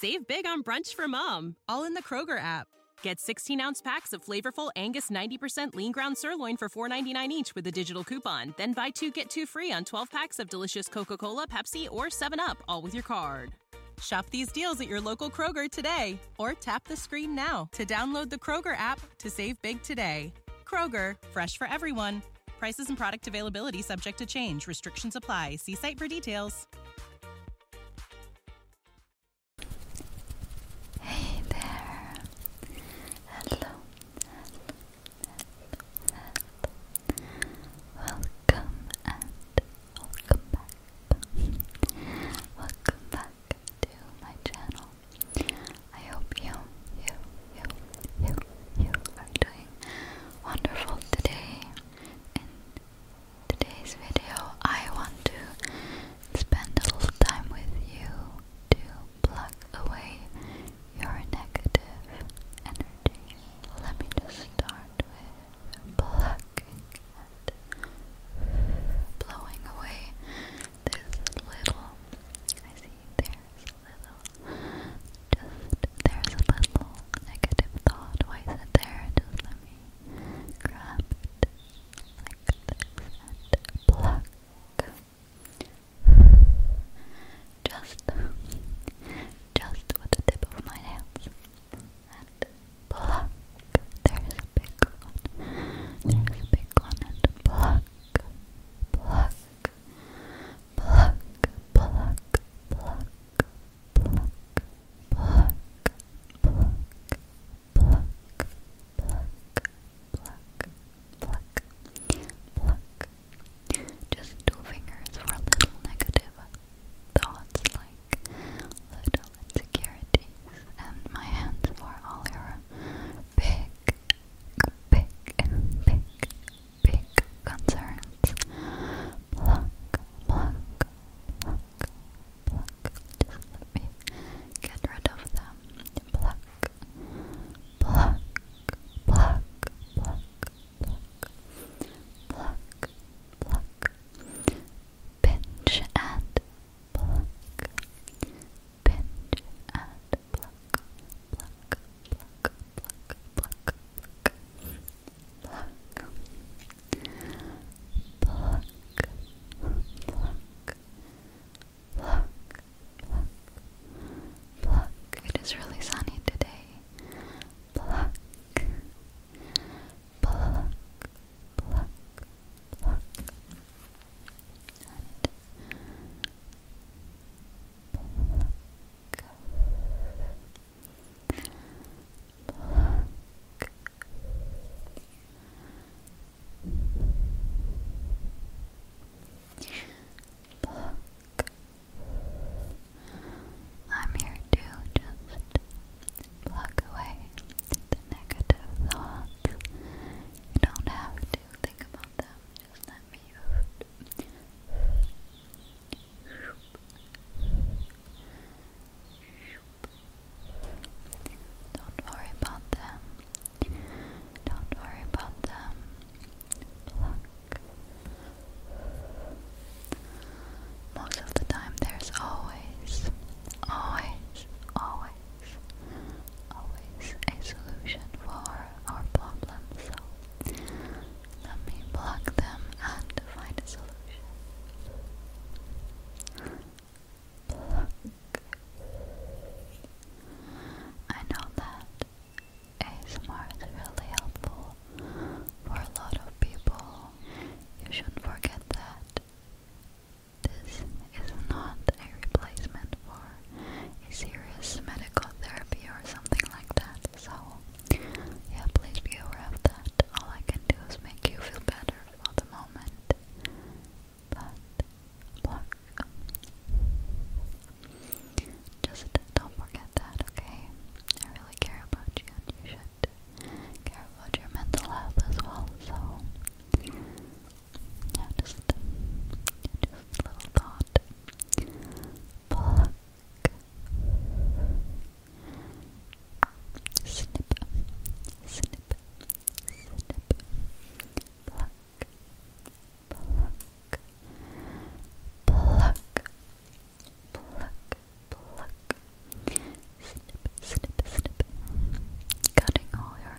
Save big on brunch for mom, all in the Kroger app. Get 16 ounce packs of flavorful Angus 90% lean ground sirloin for $4.99 each with a digital coupon. Then buy two get two free on 12 packs of delicious Coca Cola, Pepsi, or 7UP, all with your card. Shop these deals at your local Kroger today or tap the screen now to download the Kroger app to save big today. Kroger, fresh for everyone. Prices and product availability subject to change. Restrictions apply. See site for details. Hey there! hello. Welcome and welcome back. welcome back to my channel. I hope you, you, you, you, you are doing wonderful today. In today's video, I want to spend a little time with you to pluck away your negative energy. Let me just start with plucking and blowing away this little. I see there's little just there's a little negative thought. Why is it there? Just let me grab it like this and pluck. Just, just with the tip of my hands and pluck. There's a big one. There's a big one and pluck, pluck, pluck, pluck, pluck pluck, pluck, pluck, pluck, pluck, pluck, pluck, pluck. Just two fingers for little negative thoughts like little and my hands for all your big, big, big, big concerns. Pluck, pluck, pluck, pluck. get rid of them. pluck, pluck, pluck, pluck, pluck, pluck. Pinch and pluck. Pinch and pluck, pluck, it is really sunny today pluck, pluck. I'm here to just pluck away the negative thoughts. You don't have to think about them don't worry about them. Don't worry about them. Pluck. Most of the time, there's always, always, always, always a solution for our problems. So let me block them and find a solution. Pluck. I know that ASMR is really helpful for a lot of people. You shouldn't forget that. This is not a replacement for a serious medical therapy or something like that. So, yeah, please be aware of that. All I can do is make you feel better for the moment. But, block. Just don't forget that, okay? I really care about you and you should care about your mental health as well, so yeah, just, just a little thought Pluck. Snip, snip, snip, pluck, pluck, pluck, pluck, pluck, snip, snip, snip, cutting all your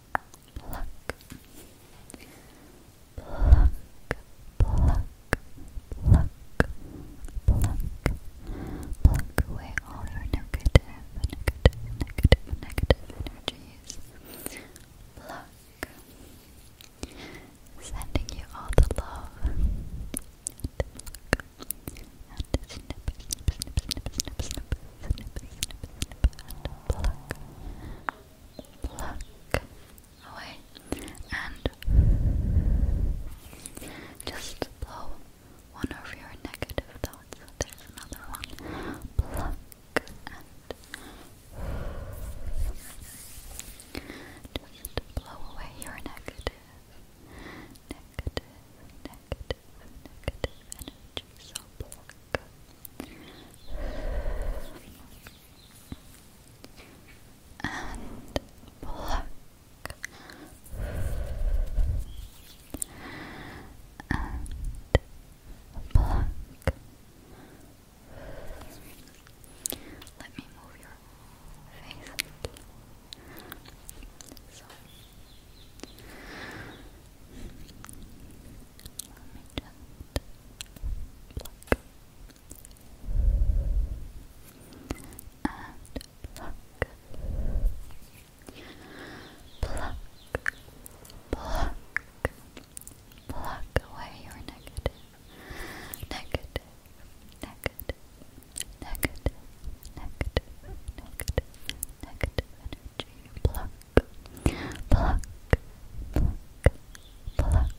pluck, pluck, pluck, pluck, pluck, pluck away all your negative, negative, negative, negative energies. Pluck. Sending you all the love snip, snip, and pluck, pluck away, and just blow one of your negative thoughts. There's another one. Pluck and just blow away your negative, negative, negative of negative energy, so pluck. And pluck. And pluck. Let me move your face pluck, pluck, pluck away your negative, negative, negative, negative, negative, negative, negative, negative energy. Pluck, pluck, pluck, pluck, pluck, pluck, pluck,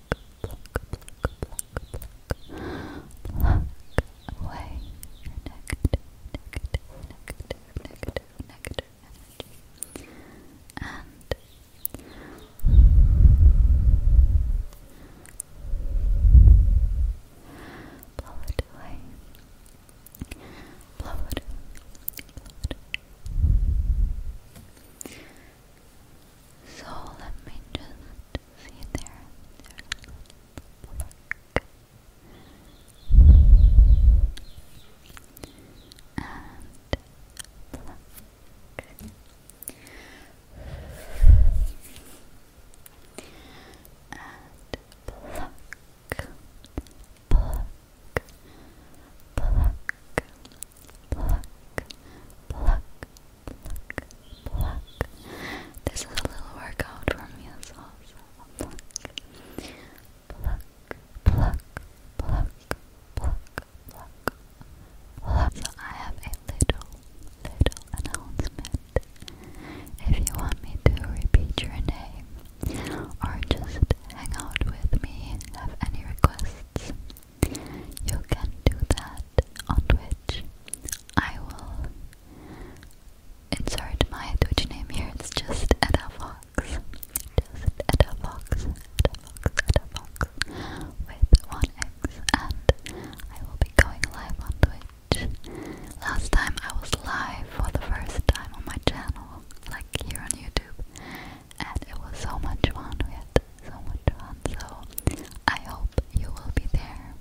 pluck. away negative, negative, negative, negative, negative energy. And Blow it away, Blow it. So let me just see there. And pluck, pluck, pluck, pluck, pluck, pluck, pluck. This is a little workout from me as well. pluck, pluck, pluck, pluck, pluck, pluck, pluck. So I have a little, little announcement if you want me to repeat your name or just hang out with me, have any requests, you can do that on Twitch. I will insert my Twitch name here, it's just Edafox. Just Edafox, Edafox, Edafox with one X, and I will be going live on Twitch. Last time I was live for the first time on my channel, like here on YouTube, and it was so much fun. We had so I hope you will be there.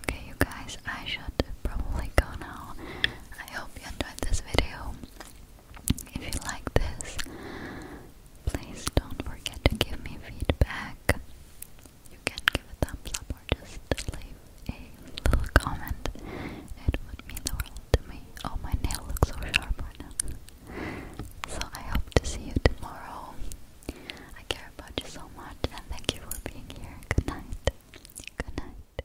Okay, you guys, I should probably go now. I hope you enjoyed this video. If you like this, please don't forget to give me feedback. You can give a thumbs up or just leave a little comment. It would mean the world to me. Oh, my nail looks so sharp right now. So I hope to see you tomorrow. I care about you so much and thank you for being here. Good night. Good night.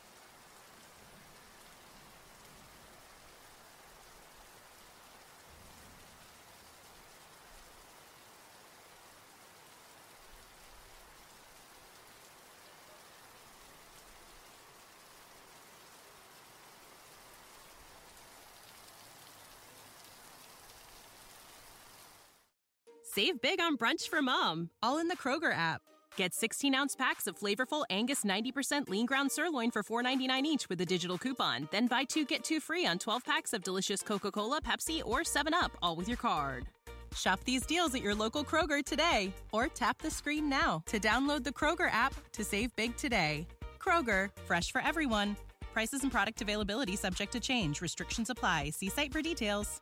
Save big on brunch for mom, all in the Kroger app. Get 16 ounce packs of flavorful Angus 90% lean ground sirloin for $4.99 each with a digital coupon. Then buy two get two free on 12 packs of delicious Coca Cola, Pepsi, or 7UP, all with your card. Shop these deals at your local Kroger today or tap the screen now to download the Kroger app to save big today. Kroger, fresh for everyone. Prices and product availability subject to change. Restrictions apply. See site for details.